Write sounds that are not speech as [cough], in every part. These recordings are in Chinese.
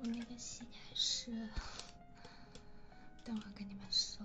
我那个洗还是，等会跟你们说。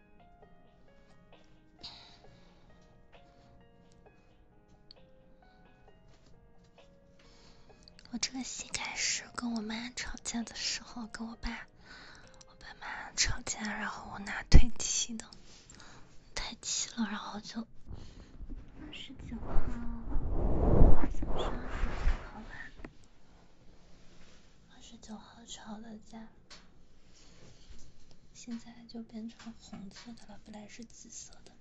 我这个戏开始跟我妈吵架的时候，跟我爸、我爸妈吵架，然后我拿腿踢的，太气了，然后就二十九号早上九点半，二十九号吵的架。现在就变成红色的了，本来是紫色的。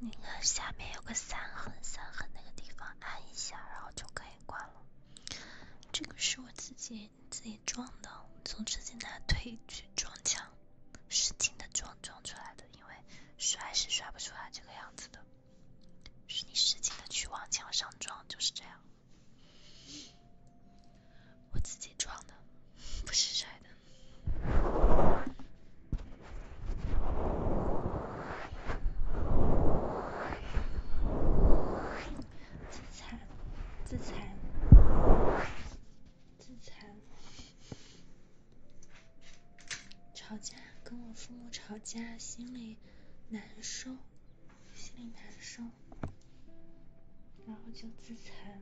那个下面有个三横，三横那个地方按一下，然后就可以关了。这个是我自己自己装的，从直接拿推去撞墙，使劲的撞撞出来的，因为摔是摔不出来这个样子的，是你使劲的去往墙上撞，就是这样。我自己装的，不是摔的。自残，自残，自残。吵架，跟我父母吵架，心里难受。心里难受，然后就自残。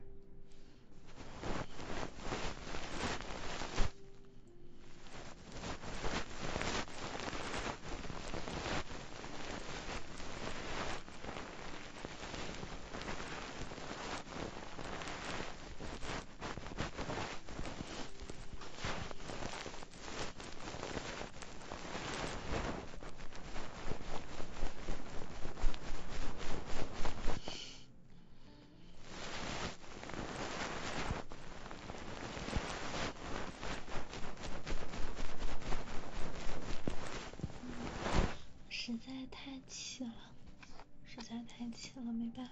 实在太气了，实在太气了，没办法。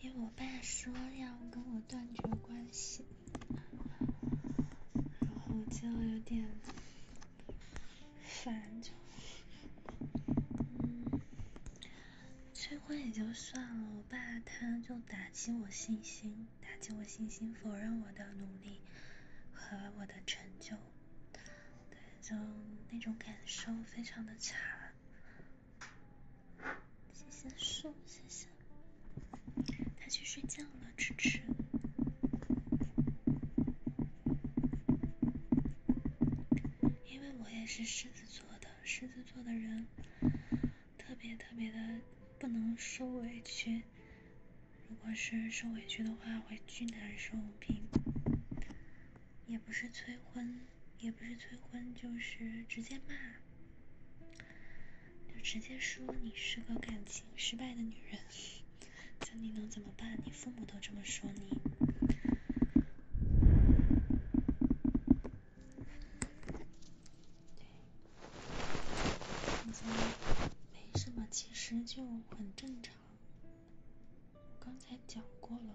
因为我爸说要跟我断绝关系，然后就有点烦，就催婚也就算了，我爸他就打击我信心，打击我信心，否认我的努力和我的成就。对，就那种感受非常的差。谢谢树，谢谢。他去睡觉了，支持。因为我也是狮子座的，狮子座的人特别特别的不能受委屈，如果是受委屈的话会巨难受，并。也不是催婚，也不是催婚，就是直接骂，就直接说你是个感情失败的女人。就你能怎么办？你父母都这么说你，对，现在没什么，其实就很正常。刚才讲过了。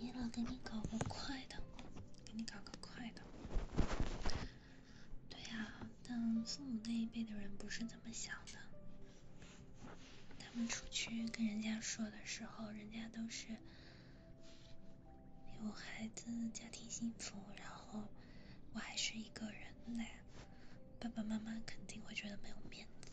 爷老给你搞个快的，给你搞个快的。对呀，但父母那一辈的人不是这么想的，他们出去跟人家说的时候，人家都是。有孩子，家庭幸福，然后我还是一个人嘞，爸爸妈妈肯定会觉得没有面子。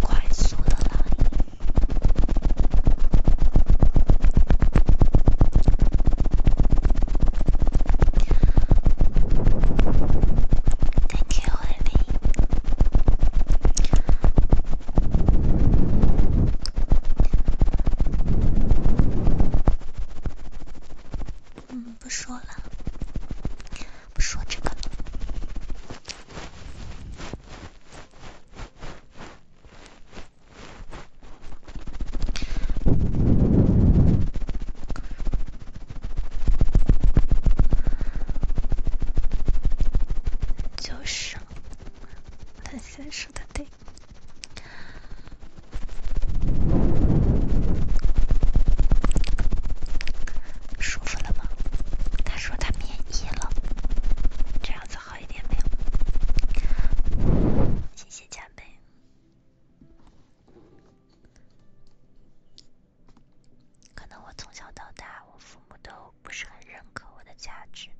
快速的来 t 嗯，不说了，不说这个。就是，他现在说他得舒服了吗？他说他免疫了，这样子好一点没有？谢谢加倍。可能我从小到大，我父母都不是很认可我的价值，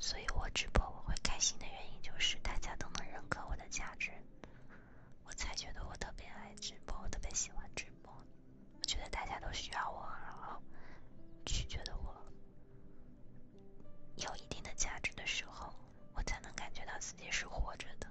所以我直播我会开心的原因就是大家都能认可我的价值，我才觉得我特别爱直播，我特别喜欢直播，我觉得大家都需要我，然后，去觉得我有一定的价值的时候，我才能感觉到自己是活着的。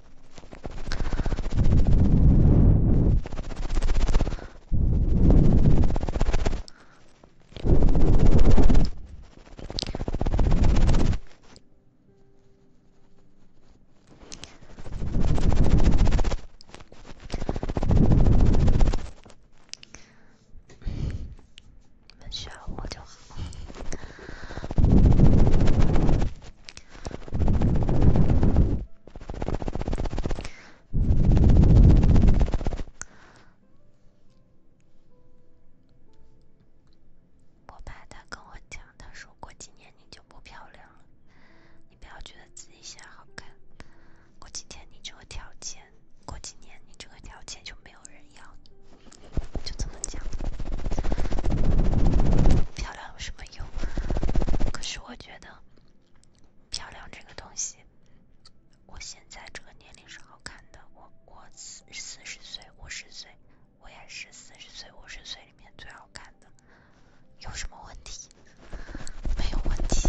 你们需要我就好。我怕他跟我讲，他说过几年你就不漂亮了。你不要觉得自己现在好看，过几年你这个条件，过几年你这个条件就没有人要，你，就这么讲。漂亮。有什么用？可是我觉得，漂亮这个东西，我现在这个年龄是好看的。我我四四十岁五十岁，我也是四十岁五十岁里面最好看的。有什么问题？没有问题。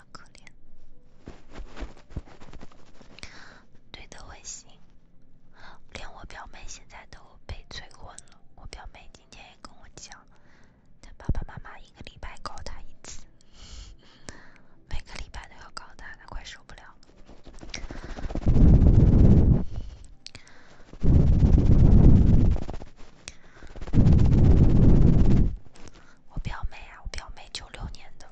可怜，对的，温馨。连我表妹现在都被催婚了。我表妹今天也跟我讲，她爸爸妈妈一个礼拜搞她一次，每个礼拜都要搞她，她快受不了我表妹啊，我表妹九六年的。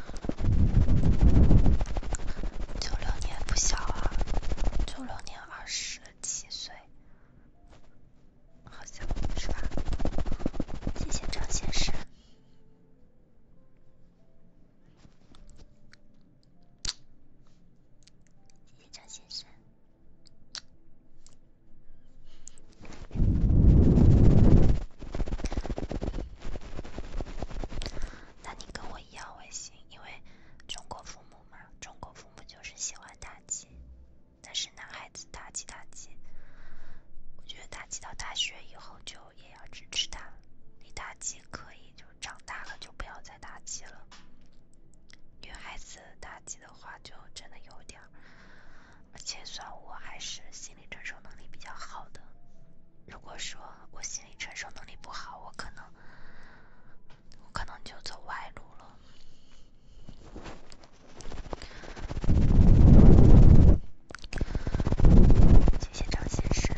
九六年不小啊，九六年二十七岁，好像是吧？谢谢张先生，谢谢张先生。那你跟我一样会行，因为中国父母嘛，中国父母就是喜欢打击，但是男孩子打击打击，我觉得打击到大学以后就也要支持他，你打击可以，就长大了就不要再打击了。女孩子打击的话就真的有点儿，而且算我还是心理承受能力比较好的。如果说我心理承受能力不好，我可能，我可能就走歪路了。谢谢张先生。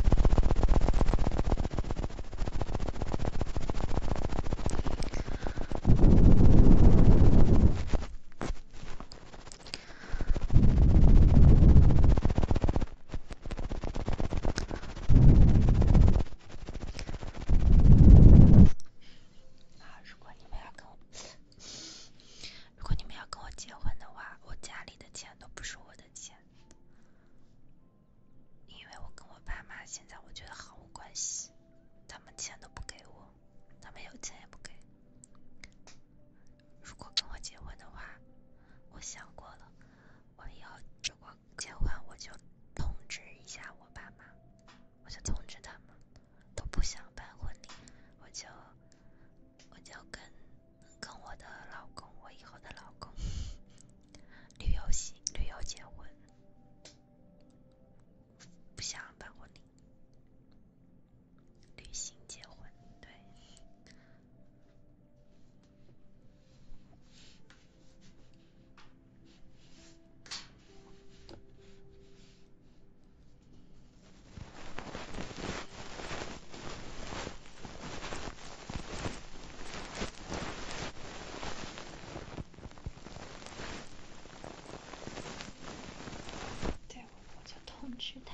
啊！如果你们要跟我，如果你们要跟我结婚的话，我家里的钱都不是我的钱，因为我跟我爸妈现在我觉得毫无关系，他们钱都不给我，他们有钱也不给。如果跟我结婚的话，我想过了，我以后如果结婚，我就通知一下我爸妈，我就通知他们，都不想办婚礼，我就我就跟跟我的老公，我以后的老公旅游行旅游结婚，不想办婚礼，旅行结婚对。对，我就通知他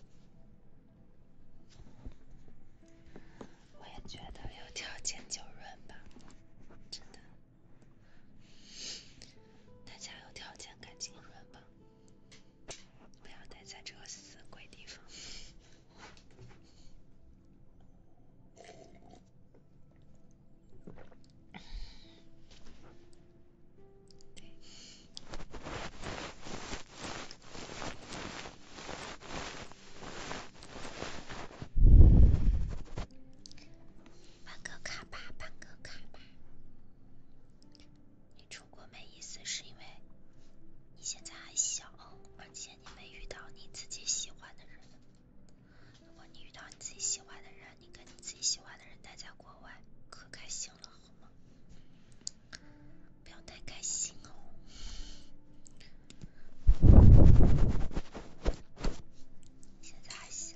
我也觉得有条件就润吧，真的。大家有条件赶紧润吧，不要待在这个死鬼地方。办个卡吧，办个卡吧。你出国没意思，是因为你现在还小，而且你没遇到你自己喜欢的人。如果你遇到你自己喜欢的人，你跟你自己喜欢的人待在国外，可开心了。不要太开心哦，现在还小。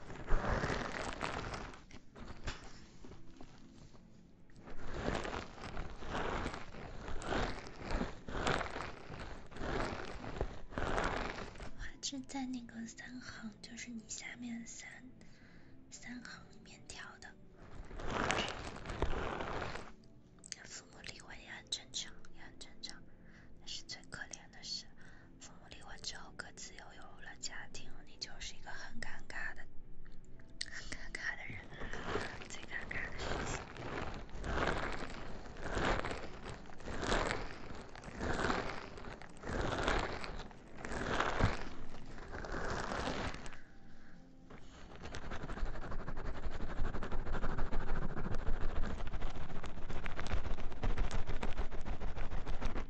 花枝在那个三行，就是你下面三三行面条的。父母离婚也很正常，也很正常，那是最可怜。真的是，父母离婚之后各自又有了家庭，你就是一个很尴尬的、很尴尬的人，最尴尬的事情。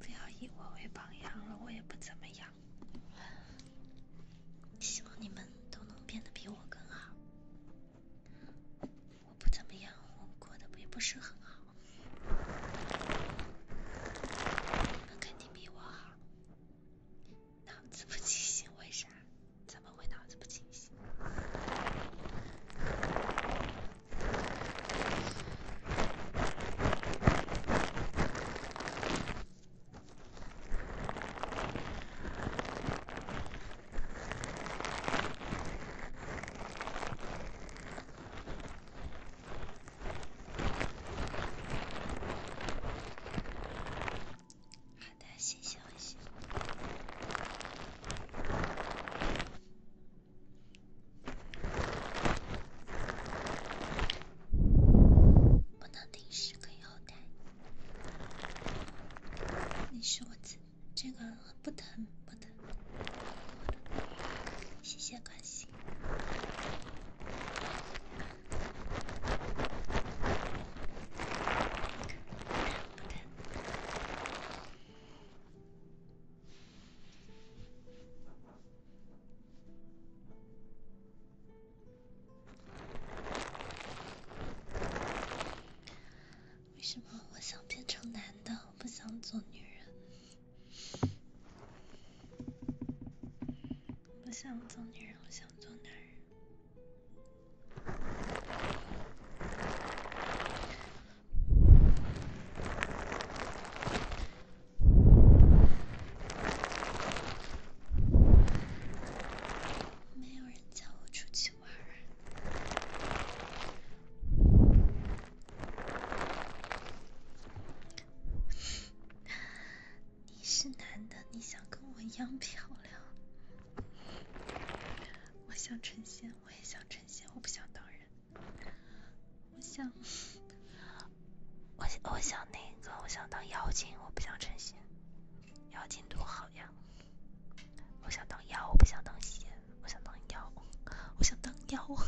不要以我为榜样了，我也不怎么样。希望你们都能变得比我更好。我不怎么样，我过得也不是很好。你们肯定比我好。脑子不清醒，为啥？怎么会脑子不清晰？好的，谢谢。关系不能定时，可以后台。关心。不疼。为什么我想变成男的，不想做女人？不想做女人，我想做男人。没有人叫我出去玩你是男的，你想跟我一样漂亮？我想成仙。我也想成仙，我不想当人。我想，我想，我想那个，我想当妖精，我不想成仙。妖精多好呀！我想当妖，我不想当仙。我想当妖，我想当妖。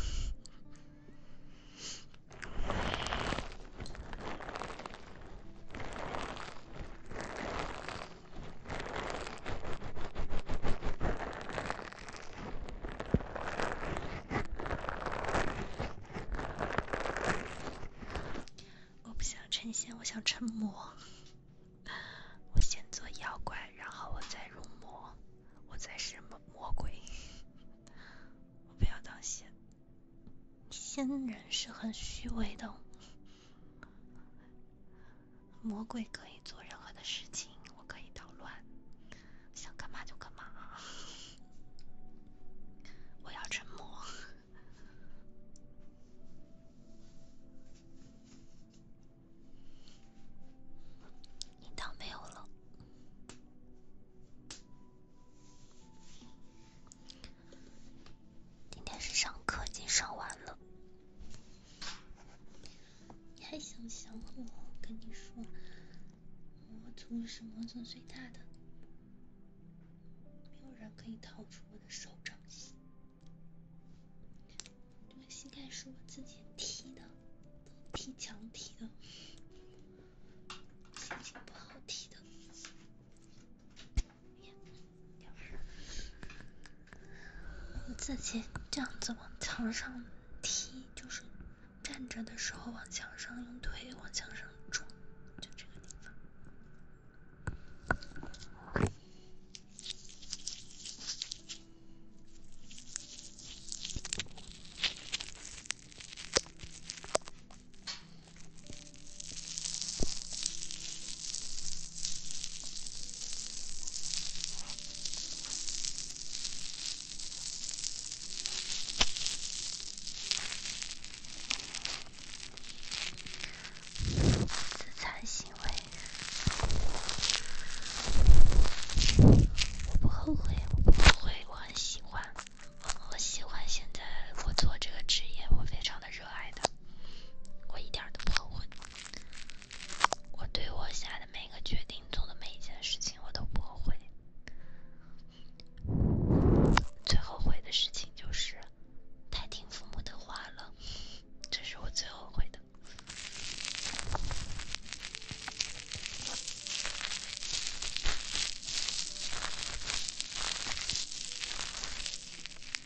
我不想成仙，我想成魔。我先做妖怪，然后我再入魔，我再是魔魔鬼。我不要当仙，仙人是很虚伪的。魔鬼可以做任何的事情，我可以捣乱，想干嘛就干嘛。我要沉默。樱桃没有了。今天是上课，已经上完了。你还想想我？跟你说，我族是魔族最大的，没有人可以逃出我的手掌心。这个膝盖是我自己踢的，踢墙踢的，心情不好踢的。你自己这样子往墙上踢，就是站着的时候往墙上用腿往墙上撞，就这个地方。自残行为，我不后悔，我不后悔，我很喜欢，我喜欢现在我做这个职业，我非常的热爱的，我一点都不后悔。我对我下的每个决定、做的每一件事情，我都不后悔。最后悔的事情就是太听父母的话了，这是我最后悔的。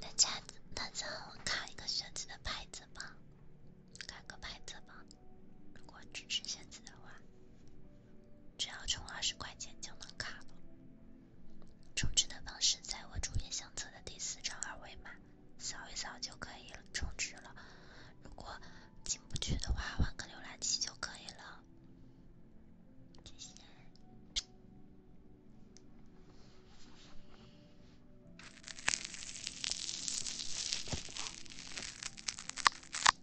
大家，大家，我开一个随机的牌子吧，开个牌子吧。如果支持现次的话，只要充二十块钱就能卡了。充值的方式在我主页相册的第四张二维码，扫一扫就可以了充值了。如果进不去的话，换个浏览器就可以了。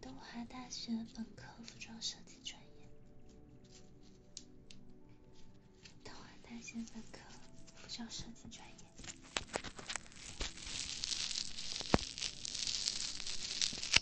东华大学本科服装设计专业，东华大学本科服装设计专业。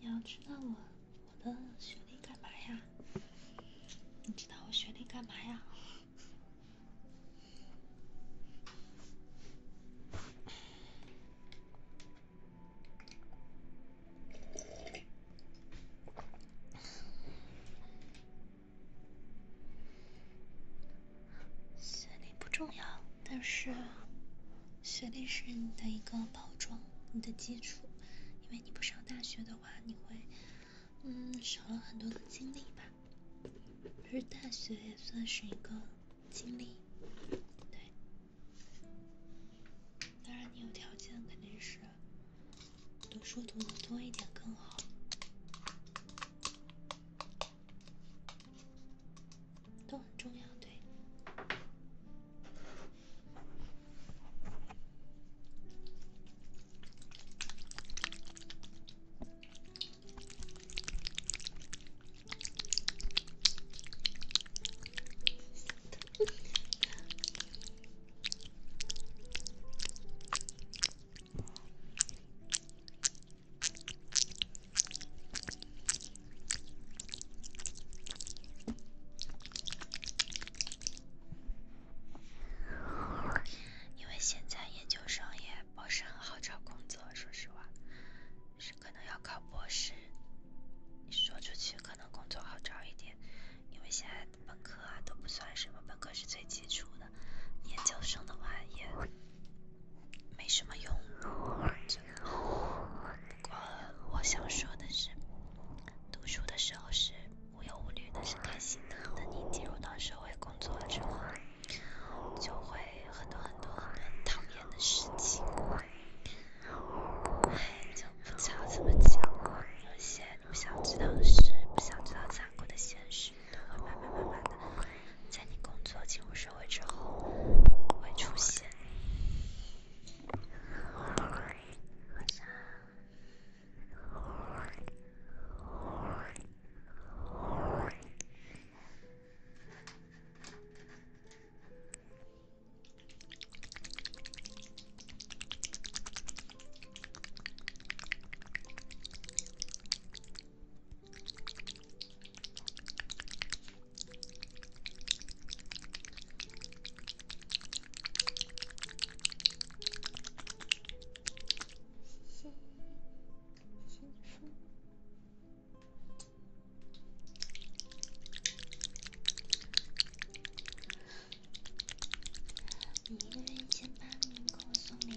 你要知道我我的学历干嘛呀？你知道我学历干嘛呀？学历不重要，但是学历是你的一个保障，你的基础。因为你不上大学的话，你会，嗯，少了很多的经历吧。就是大学也算是一个经历，对。当然，你有条件，肯定是读书读的多一点更好。都很重要，对。因为现在研究生也不是很好找工作，说实话，是可能要考博士。说出去可能工作好找一点，因为现在本科啊都不算什么，本科是最基础的。研究生的话也没什么用。不过我想说的是，读书的时候是无忧无虑的，是开心的。等你进入到社会工作之后，就会很多很多很很讨厌的事情，就不知道怎么讲。有些不想知道的事，不想知道残酷的现实。都会慢慢慢慢的，在你工作进入社会之后会出现。谢谢，谢谢你一个月一千八，你给我送礼物。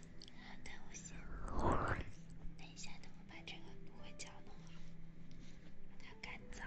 好的，我先。等一下，等我把这个芦荟胶弄好，它干燥。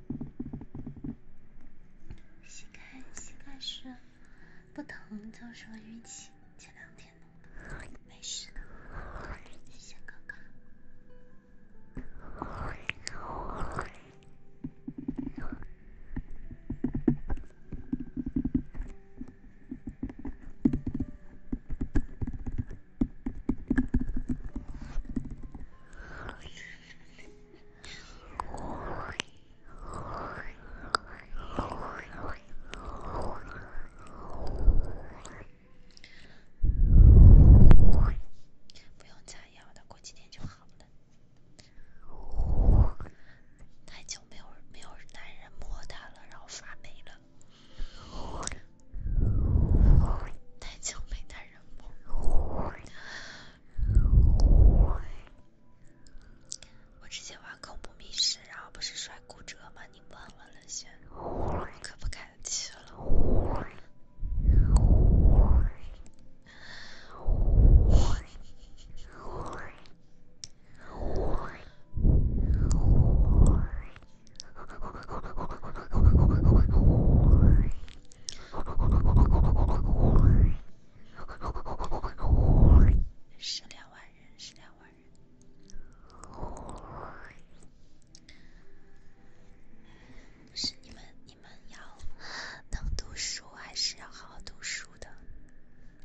膝盖膝盖是不疼，就是淤青，前两天的，没事的，小哥哥。不用擦药的，过几天就好了。太久没有没有男人摸它了，然后发霉了。太久没男人摸。我之前玩恐怖密室，然后不是摔骨折吗？你问我了先，可不敢去了。是两万人，是两万人。是你们，你们要能读书，还是要好好读书的？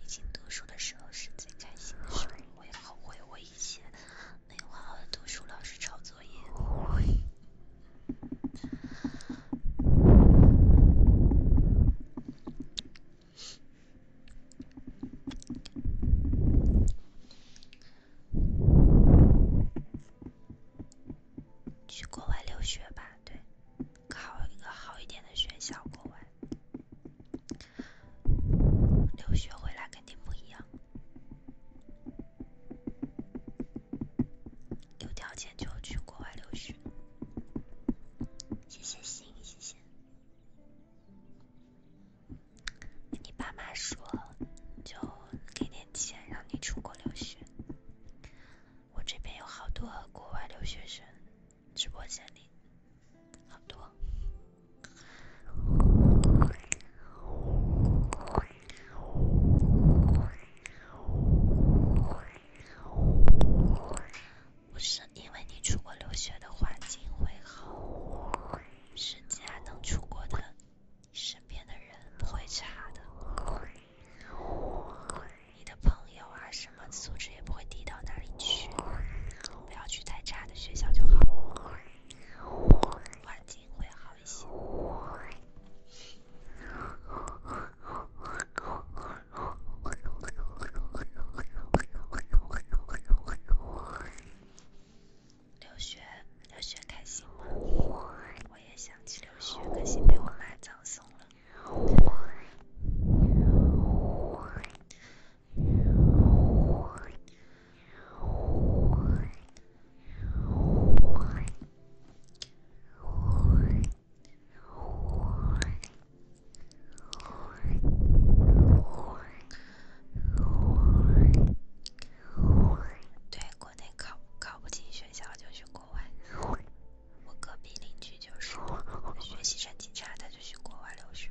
毕竟读书的时候是最开心的时候。我也后悔，我以前没好好读书，老是抄作业。去国外留学吧，对，考一个好一点的学校，国外留学回来肯定不一样。有条件就去国外留学，谢谢星，谢谢。你爸妈说，就给点钱让你出国留学。我这边有好多国外留学生，直播间里好多。不是因为你出国留学的环境会好，是既然能出国的，身边的人不会差的，你的朋友啊什么素质也不会低到哪里去。不要去太差的学校就好，环境会好一些。留学，留学开心吗？我也想去留学，可惜被我妈葬送了。对，国内考考不进学校就去国外。我隔壁邻居就是学习成绩差，他就去国外留学。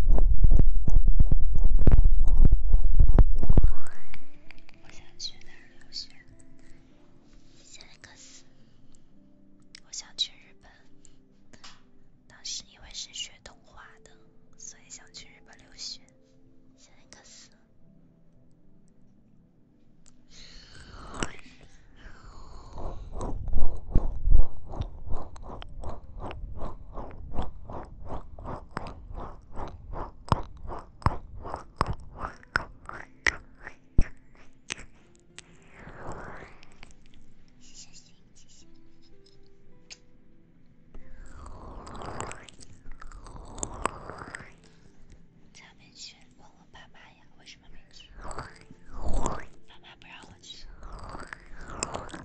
我想去哪留学？夏威各斯。我想去日本，当时因为是学动画的，所以想去日本留学。夏威各斯。谢谢谢谢谢谢。咱们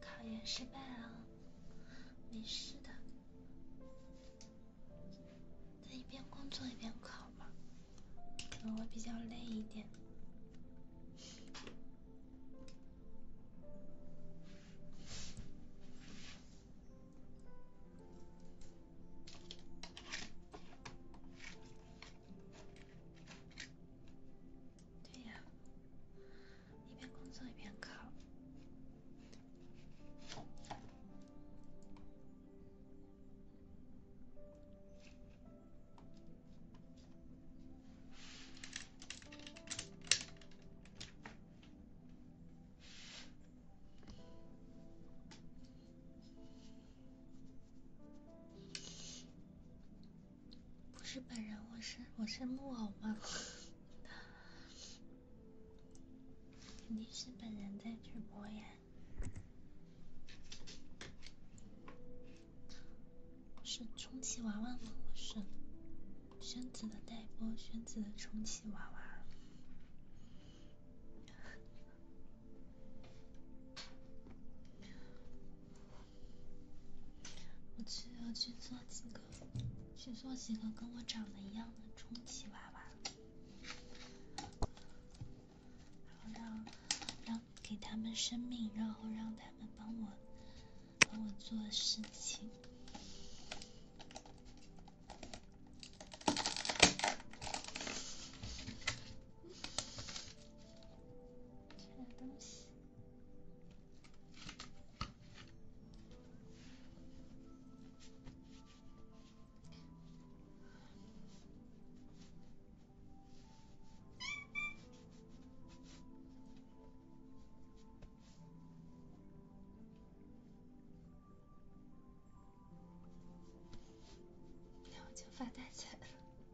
考研失败了，没事的，在一边工作一边考吧，可能会比较累一点。对呀，一边工作一边考。不是本人，我是我是木偶吗？肯定是本人在直播呀。是充气娃娃吗？我是宣子的代播，宣子的充气娃娃。我只要去做几个，去做几个跟我长得一样的充气娃娃，然后让让给他们生命，然后让他们帮我帮我做事情。吃点东西，那我就发大财了。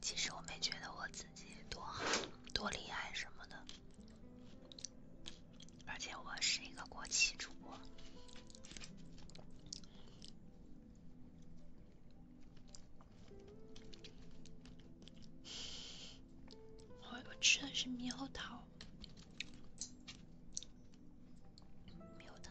其实我没觉得我自己多好多厉害什么的，而且我是一个国企主播。我我吃的是猕猴桃，猕猴桃。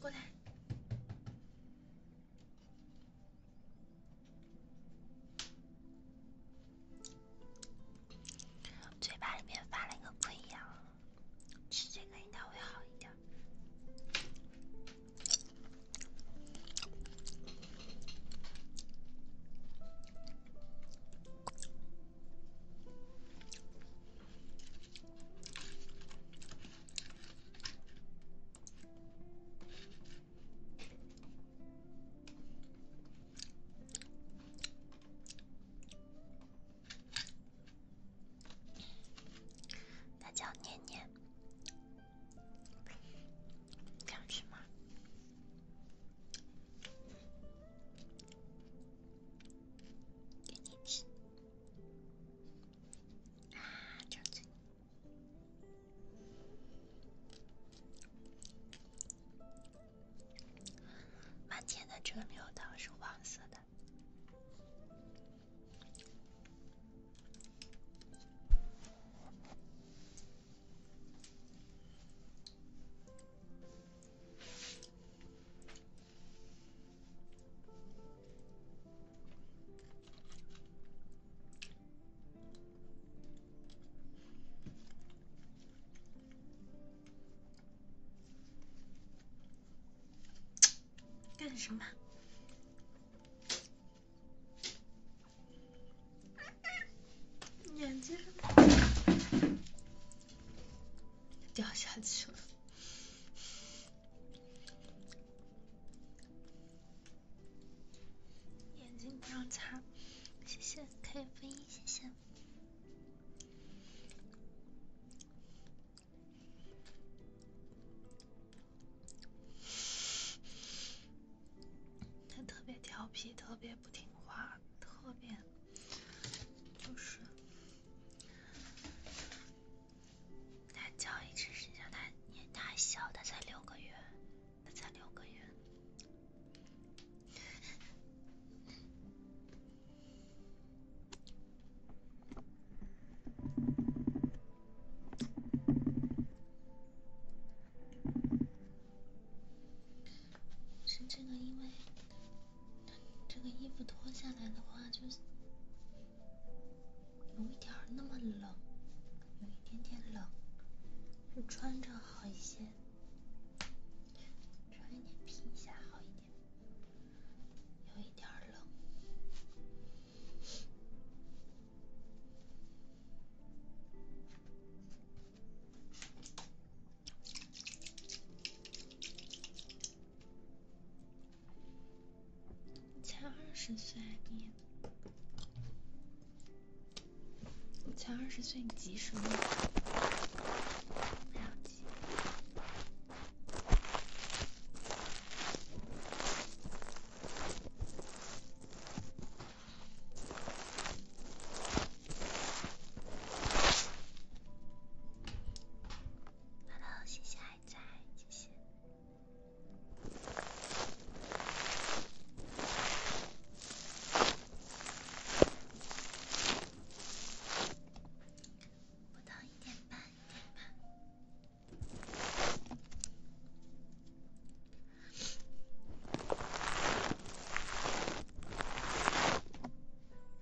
过来，嘴巴里面发了一个溃疡，吃这个应该会好一点。它叫念念，想吃吗？给你吃啊！张嘴！满天的芝麻糖是黄色的。干什么？眼睛掉下去了。眼睛不要擦，谢谢可以分一，谢谢。他特别调皮，特别不听话，特别。就是，他叫一直是叫他，他小，他才六个月，他才六个月，是这个因为。这个衣服脱下来的话，就有一点那么冷，有一点点冷，就穿着好一些，穿一点皮下好一点，有一点冷。才二十岁，你！才二十岁，你急什么？不要急。哈喽，谢谢爱仔，谢谢。一点半，一点半。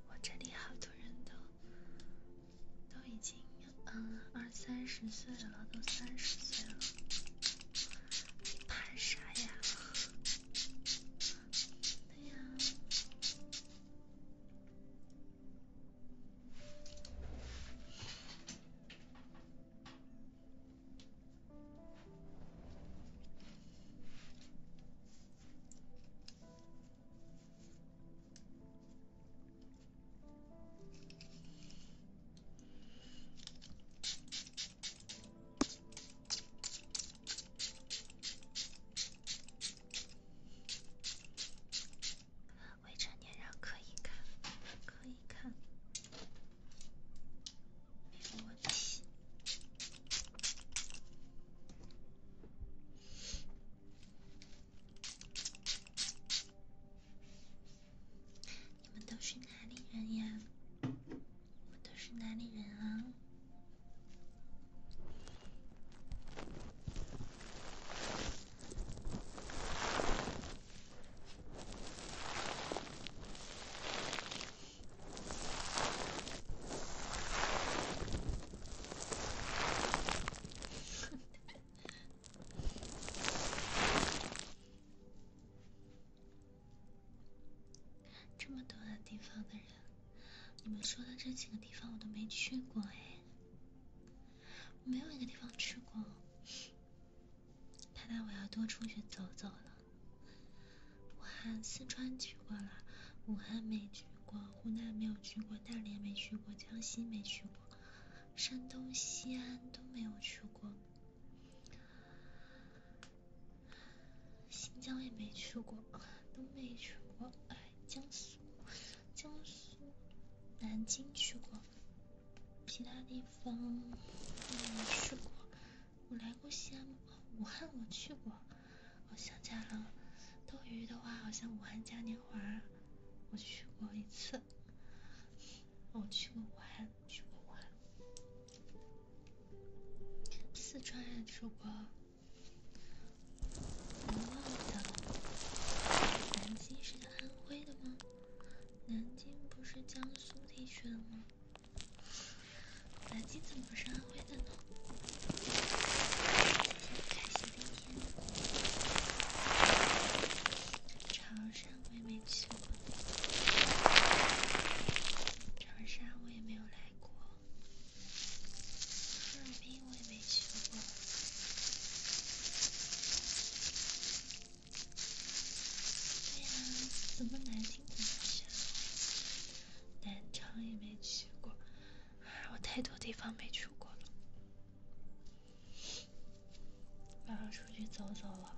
我这里好多人都。都已经嗯二三十岁了，都三十岁了，怕啥呀？对呀。未成年人可以看，可以看，没有问题。你们都是哪里人呀？我都是哪里人啊？[laughs] 这么多的地方的人，你们说的这几个地方我都没去过哎，没有一个地方去过。看来我要多出去走走了。武汉、四川去过了，武汉没去。过湖南没有去过，大连没去过，江西没去过，山东西安都没有去过，新疆也没去过，都没去过。哎，江苏，江苏，南京去过，其他地方没去过。我来过西安吗？武汉我去过。我想起来了，斗鱼的话，好像武汉嘉年华，我去过一次。我去过武汉，去过武汉。四川也去过，南京是安徽的吗？南京不是江苏地区的吗？南京怎么是安徽的呢？今天开心的一天。长沙我也没去过，长沙我也没有来过，哈尔滨我也没去过。对呀，怎么南京怎么想？南昌也没去过。我太多地方没去过了，我要出去走走了。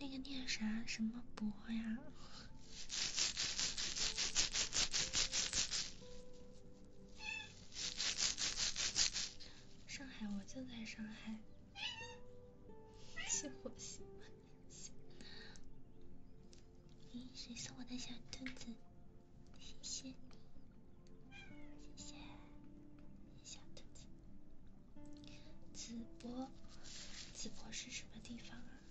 那个念啥什么博呀？上海，我就在上海。灭火喜欢。火器。咦，谁送我的小兔子？谢谢你，谢谢小兔子。淄博，淄博是什么地方啊？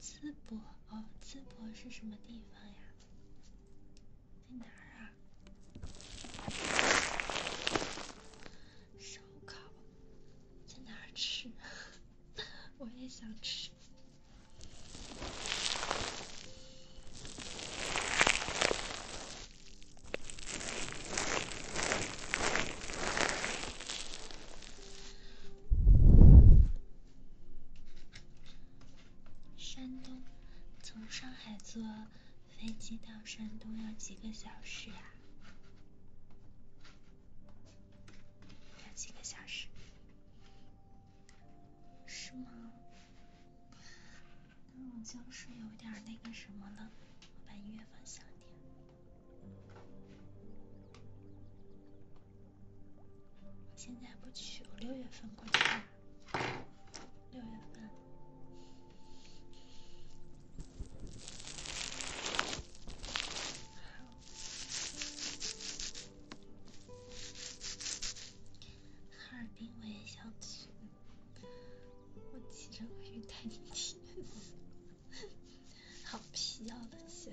淄博，哦，淄博是什么地方呀？在哪儿啊？烧烤，在哪儿吃？[laughs] 我也想吃。山东，从上海坐飞机到山东要几个小时啊？要几个小时？是吗？那我就是有点那个什么了。我把音乐放小点。我现在不去，我六月份过去。六月份，哈尔滨我也想去。我骑着我去带你去，[laughs] 好皮呀，冷血。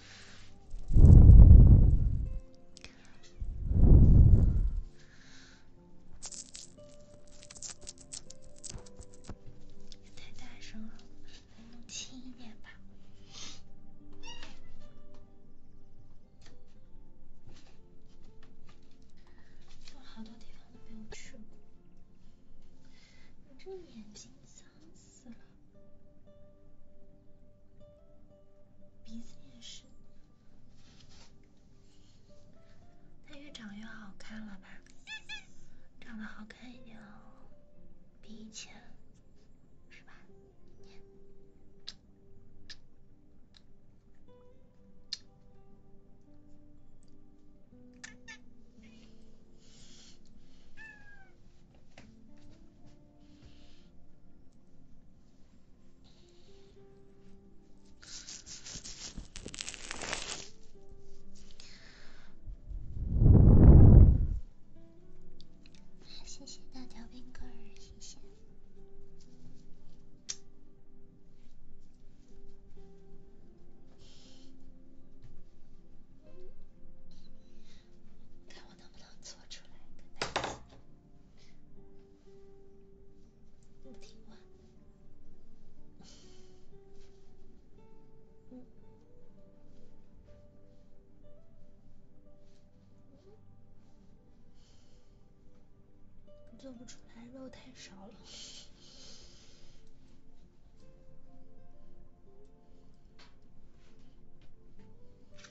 太大声了，弄轻一点吧。好多地方都没有去过，你这眼睛脏死了。鼻子也是，它越长越好看了吧？长得好看一点哦，比以前，是吧？谢谢大条冰棍儿，谢谢。能不能做出来？做不出来，肉太少了。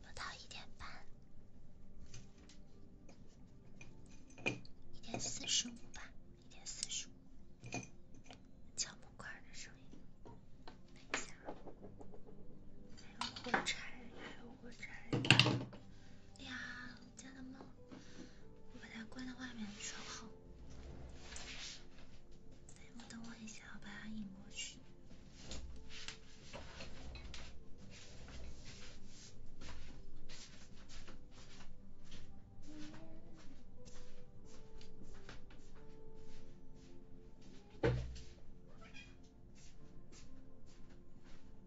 不到一点半，一点四十五吧，一点四十五，敲木块的声音，等一下，还有火柴，还有火柴，哎呀。家的猫，我把它关到外面的时候，哎，我等我一下，我把它引过去。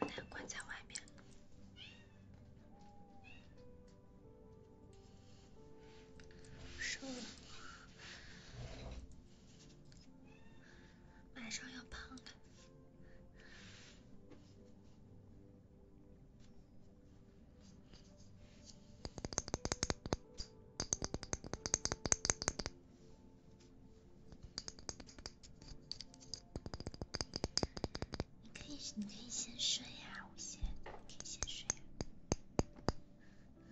把它关在外面。瘦了，马上要胖了。你可以，你可以先睡呀，我先，可以先睡。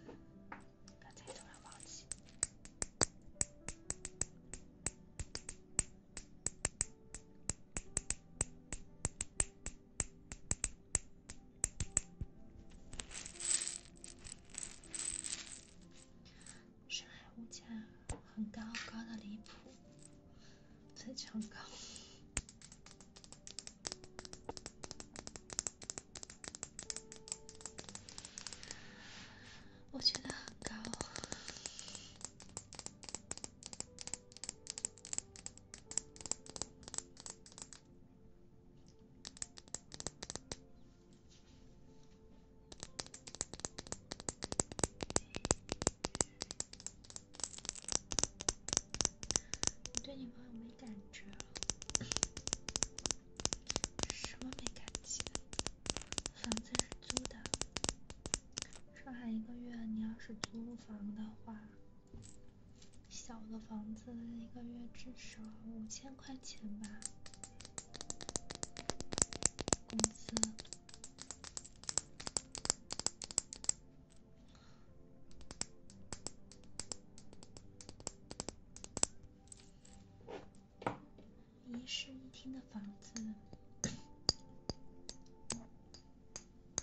不要太突然忘记。上海物很高高的离谱，非常高，我觉得很高。我对女朋友没感觉。什么没感觉？房子是租的。上海一个月，你要是租房的话，小的房子一个月至少五千块钱吧。工资，一室一厅的房子。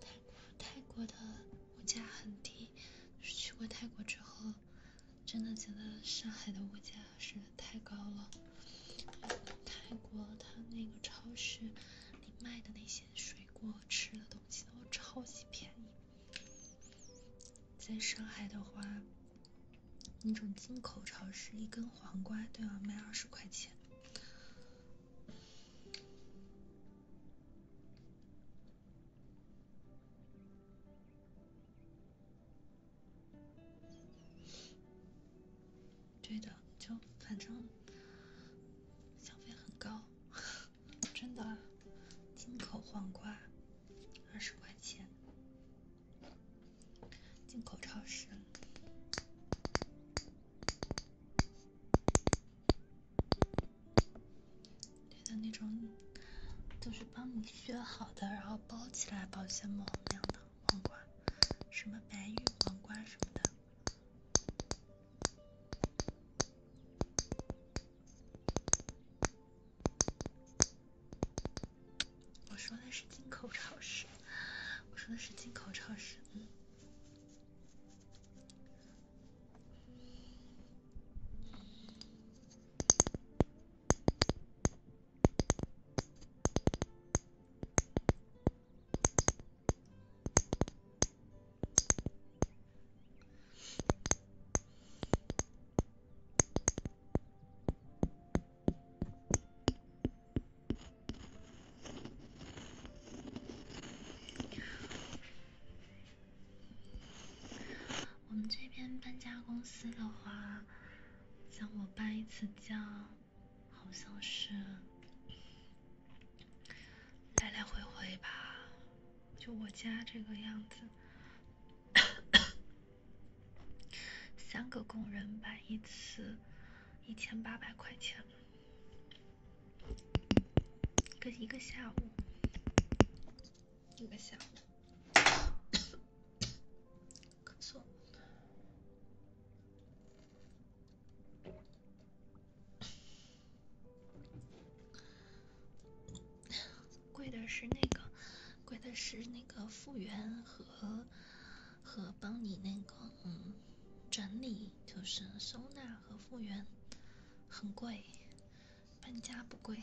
泰泰国的物价很低，去过泰国之后，真的觉得上海的物价是。太高了，泰国它那个超市里卖的那些水果、吃的东西都超级便宜。在上海的话，那种进口超市一根黄瓜都要卖二十块钱。对的，就反正消费很高，真的，进口黄瓜二十块钱，进口超市里的那种，就是帮你削好的，然后包起来保鲜膜那样的。黄瓜，什么白玉黄瓜什么的。我说的是进口超市，我说的是进口超市，嗯。我们这边搬家公司的话，像我搬一次家。好像是来来回回吧，就我家这个样子，[coughs] 三个工人摆一次，一千八百块钱，一个一个下午，一个下午。贵的是那个，贵的是那个复原和和帮你那个嗯整理，就是收纳和复原，很贵，搬家不贵。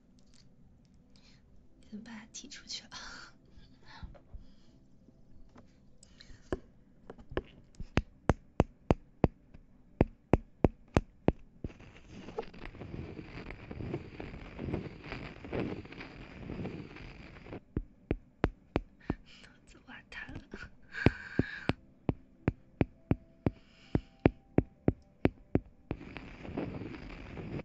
怎么把他踢出去了？[laughs] 了。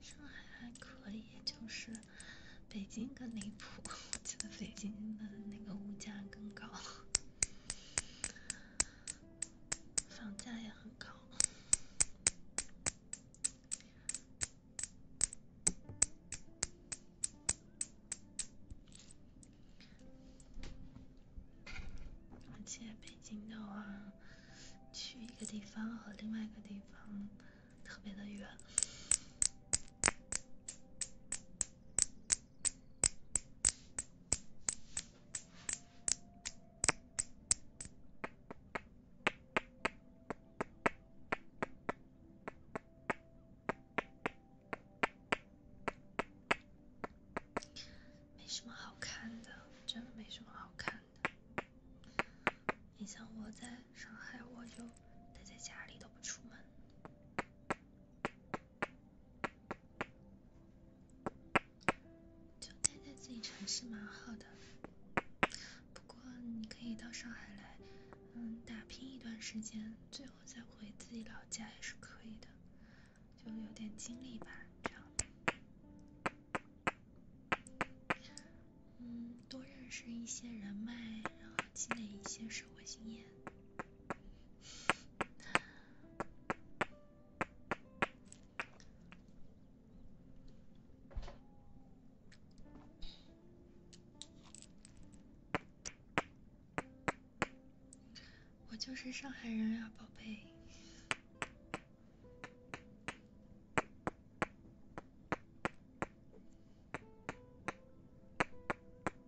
上海还可以，就是。北京更离谱，我 [laughs] 觉得北京的那个物价更高，房价也很高。而且北京的话，去一个地方和另外一个地方。特别的远，没什么好看的，真的没什么好看的。你像我在。上海我就待在家里都不出门，就待在自己城市蛮好的。不过你可以到上海来，嗯，打拼一段时间，最后再回自己老家也是可以的，就有点经历吧，这样嗯。多认识一些人脉，然后积累一些生活经验。我就是上海人呀，宝贝。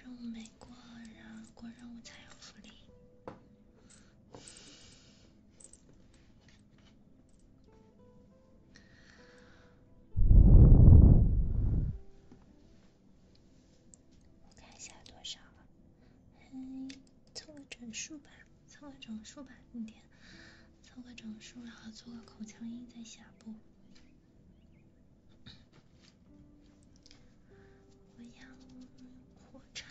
任务没过，然后过任务才有福利。我看一下多少了，凑个整数吧，凑个整数吧，明天。做个整数，然后做个口腔音在下部。我要火柴了。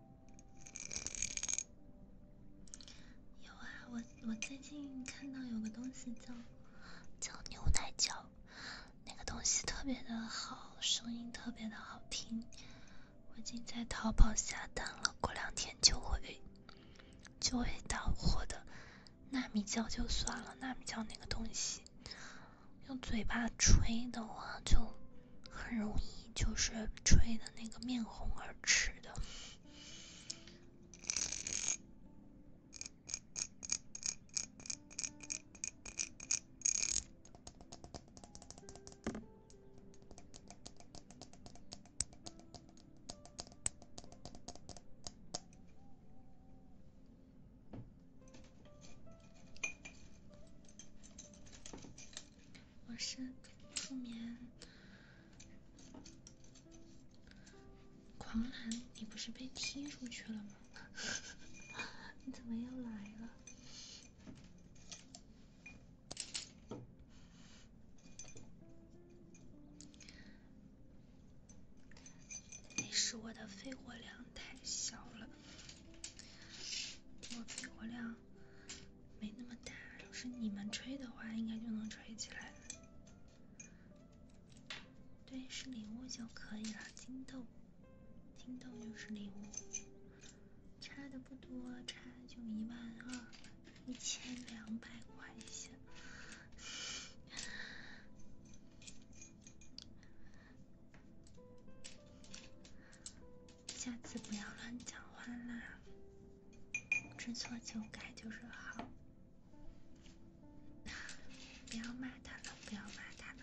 有啊，我我最近看到有个东西叫叫牛奶胶，那个东西特别的好，声音特别的好听，我已经在淘宝下单了，过两天就会就会到货的。纳米胶就算了，纳米胶那个东西用嘴巴吹的话就很容易就是吹的。那个面红耳赤的。我是助眠狂澜，你不是被踢出去了吗？[laughs] 你怎么又来了？那是我的肺活量太小了，我肺活量。没那么大，要是你们吹的话，应该就能吹起来。对，是礼物就可以了，金豆，金豆就是礼物，差的不多，差就一万二，一千两百块钱。下次不要乱讲话啦，知错就改就是好。不要骂他了，不要骂他了，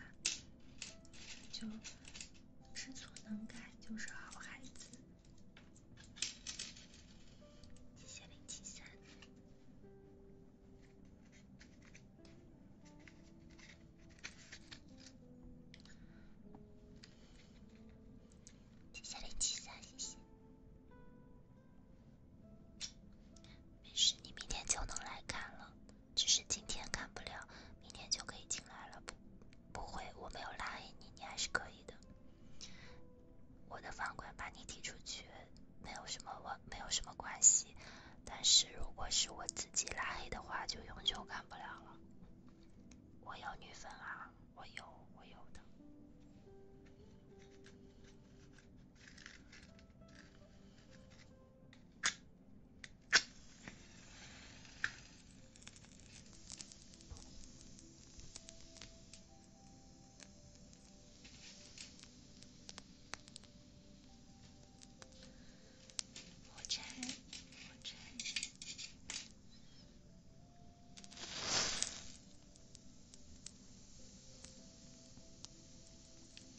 就知错能改就是好孩子。谢谢零七三。谢谢零七三，谢谢。没事，你明天就能来看了，只是今天看不了，明天就可以进来了。不，不会，我没有拉黑你，你还是可以的。我的房管把你踢出去，没有什么，我没有什么关系。但是如果是我自己拉黑的话，就永久看不了了。我有女粉啊，我有，我有的。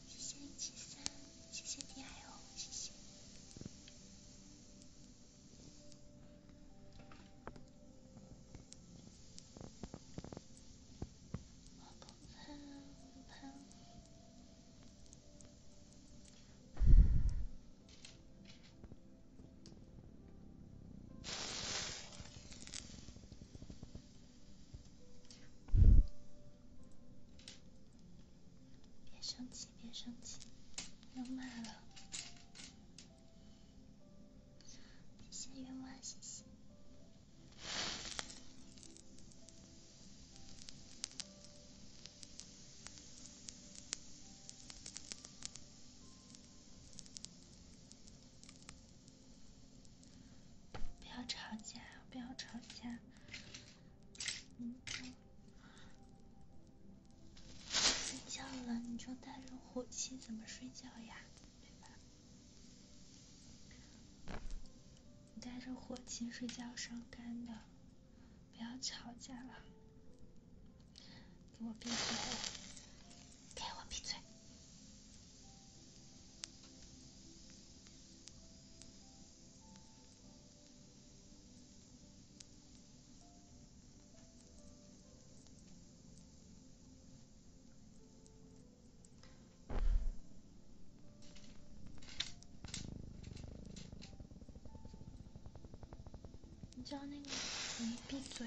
谢谢零七三，谢谢 T L，谢谢。我不猜，不猜。别生气，别生气，别骂了，谢谢冤枉，谢谢。不要吵架，不要吵架。嗯，睡觉了，你就带着火气怎么睡觉呀？对吧？你带着火气睡觉伤肝的，不要吵架了。给我闭嘴！给我闭嘴！你知道那个？你闭嘴！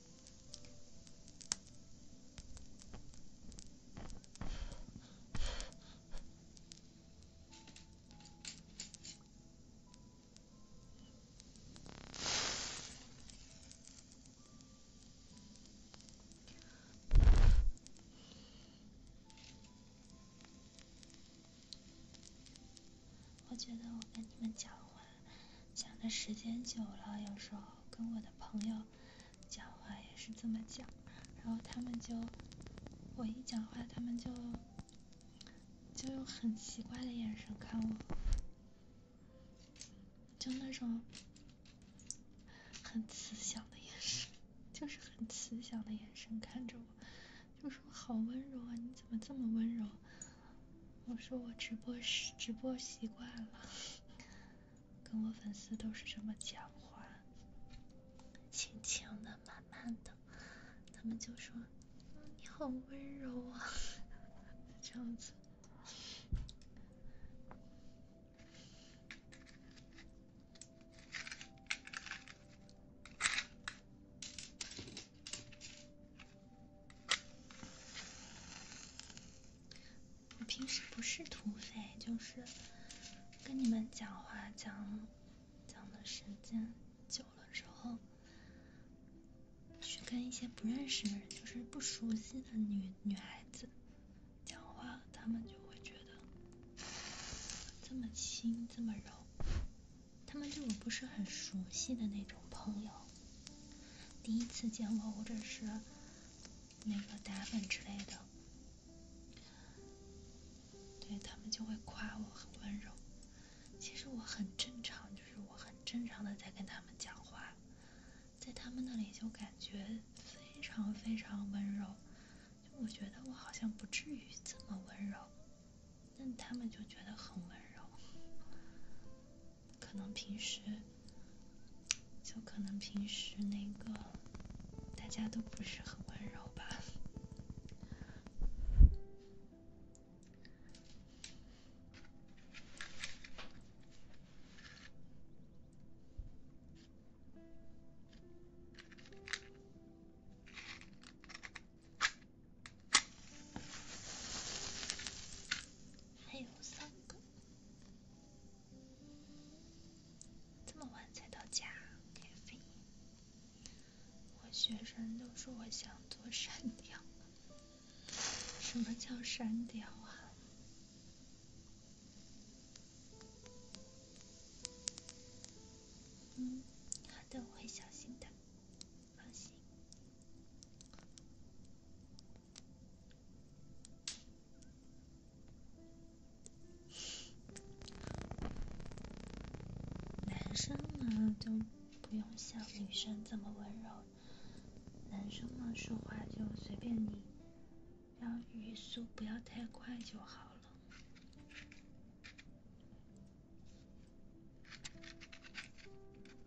我觉得我跟你们讲完。想的时间久了，有时候跟我的朋友讲话也是这么讲，然后他们就我一讲话，他们就就用很奇怪的眼神看我，就那种很慈祥的眼神，就是很慈祥的眼神看着我，就说好温柔啊，你怎么这么温柔？我说我直播是直播习惯了。跟我粉丝都是这么讲话，轻轻的、慢慢的，他们就说：“你好温柔啊”，[laughs] 这样子。我平时不是土匪，就是跟你们讲话讲讲的时间久了之后，去跟一些不认识、的人，就是不熟悉的女女孩子讲话，他们就会觉得这么轻、这么柔。他们对我不是很熟悉的那种朋友，第一次见我或者是。那个打粉之类的，对他们就会夸我很温柔。其实我很正常，就是我很正常的在跟他们讲话，在他们那里就感觉非常非常温柔。就我觉得我好像不至于这么温柔，但他们就觉得很温柔。可能平时，就可能平时那个，大家都不是很温柔吧。还有三个。这么晚才到家，咖啡。我学生都说我想做删掉。什么叫删掉啊？嗯，好的，我会小心的，放心。男生呢就不用像女生这么温柔。男生嘛，说话就随便你，不要语速不要太快就好了。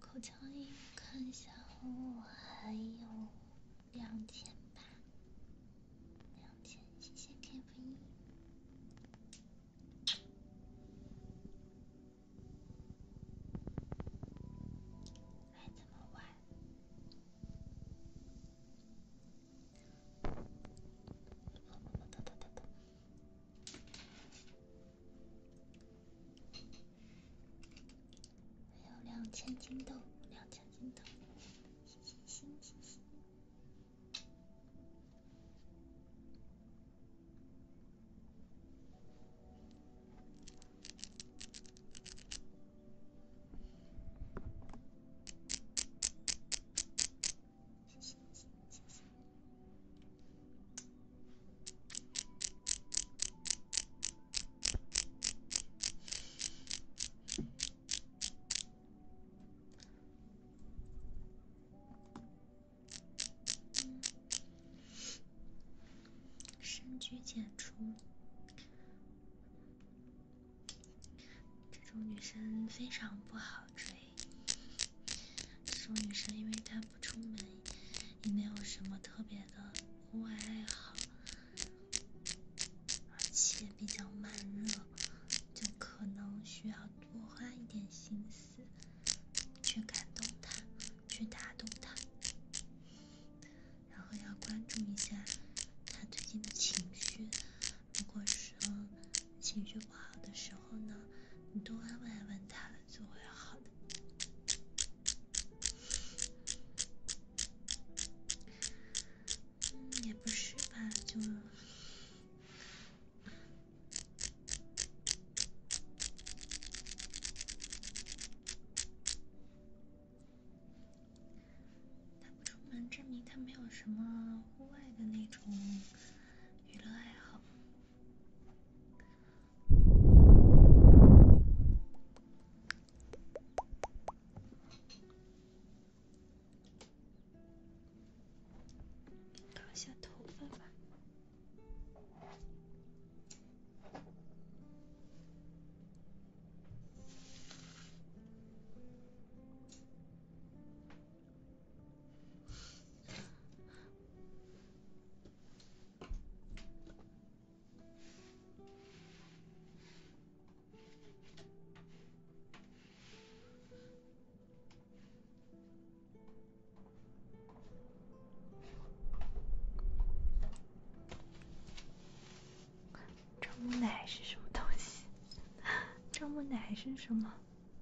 口腔医，看一下，我还有两千吧，两千，谢谢 K F 一，还这么晚，还有两千金豆，两千金豆，星星，星星。深居简出，这种女生非常不好追。这种女生，因为她不出门，也没有什么特别的户外爱好，而且比较慢热，就可能需要多花一点心思去感动他，去打动他。然后要关注一下他最近的情绪。如果说情绪不好的时候呢，你多安慰安慰他。作为好的，嗯，也不是吧，就他不出门，证明他没有什么户外的那种娱乐爱好。搞一下头发吧。樟木奶是什么东西？樟 [laughs] 木奶是什么？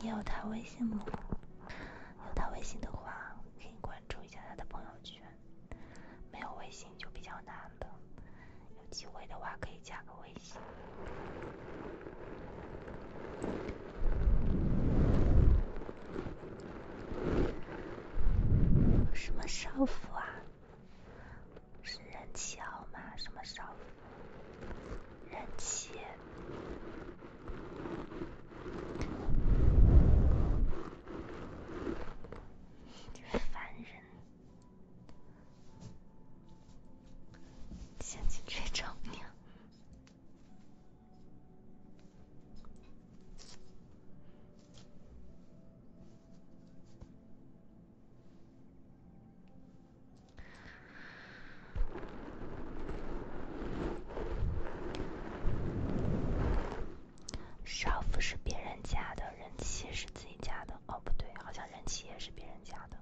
你有他微信吗？有他微信的话，可以关注。加他的朋友圈，没有微信就比较难了。有机会的话，可以加个微信。什么少妇啊？是人气好吗？什么少妇？人气？真烦人，嫌弃这种娘。少妇是别人家的，人妻是自己家的。哦，不对，好像人妻也是别人家的。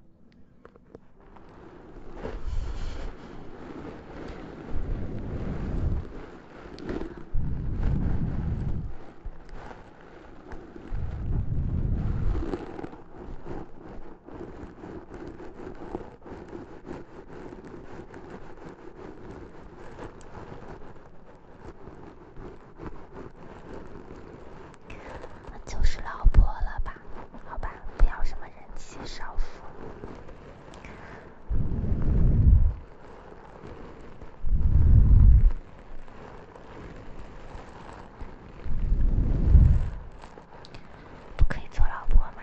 就是老婆了吧？好吧，不要什么人妻少妇，不可以做老婆吗？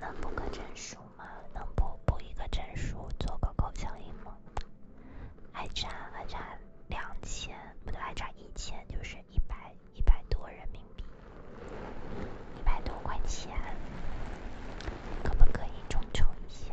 能补个证书吗？能补补一个证书，做个口腔印吗？还差还差两千，不对，还差一千，就是一百一百多人民币。一百多块钱，可不可以众筹一下？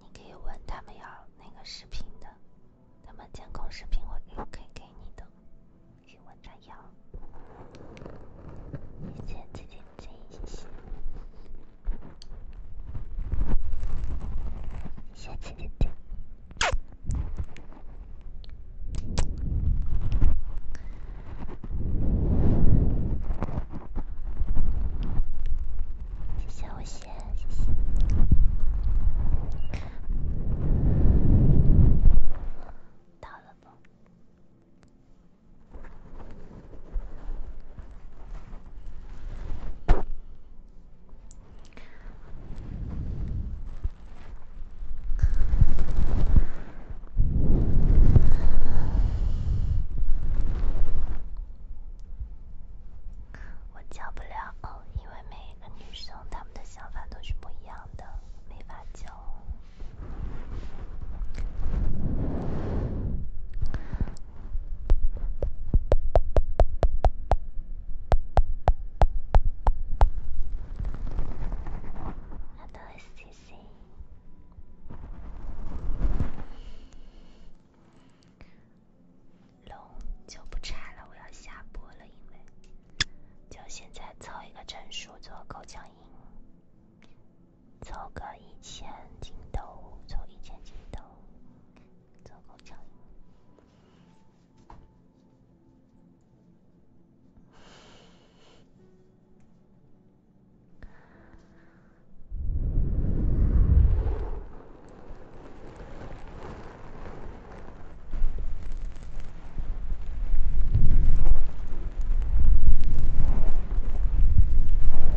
你可以问他们要那个视频的，他们监控视频我也可以给你的，可以问他要。谢谢，下次再见，谢谢谢谢，到了不？我教不了，因为每一个女生她们的想法都是不一样的，没法教。龙就不拆了，我要下播了，因为就现在凑一个整数做口腔音，凑个一千斤豆，凑一千斤豆做口交音。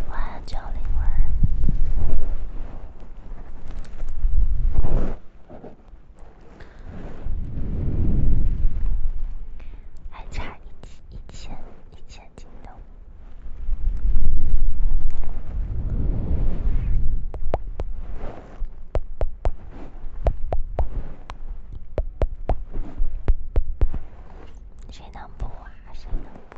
晚安，九零二。还差一千一千一千。谁能不啊？谁能不？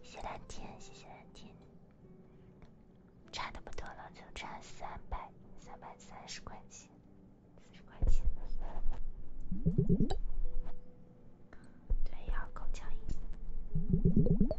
谢谢蓝天，谢谢蓝天，差的不多了，就差三百三百三十块钱，四十块钱，对，要够呛一点。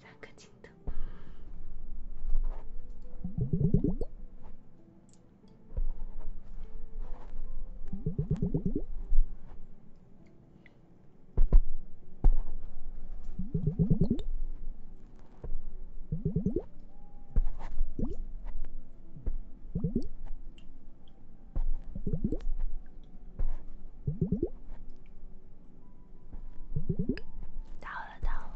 三个镜头。到了，到了。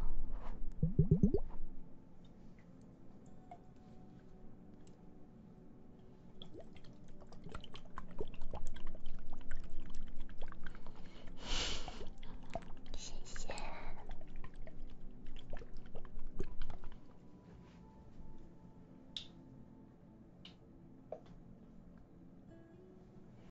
谢谢。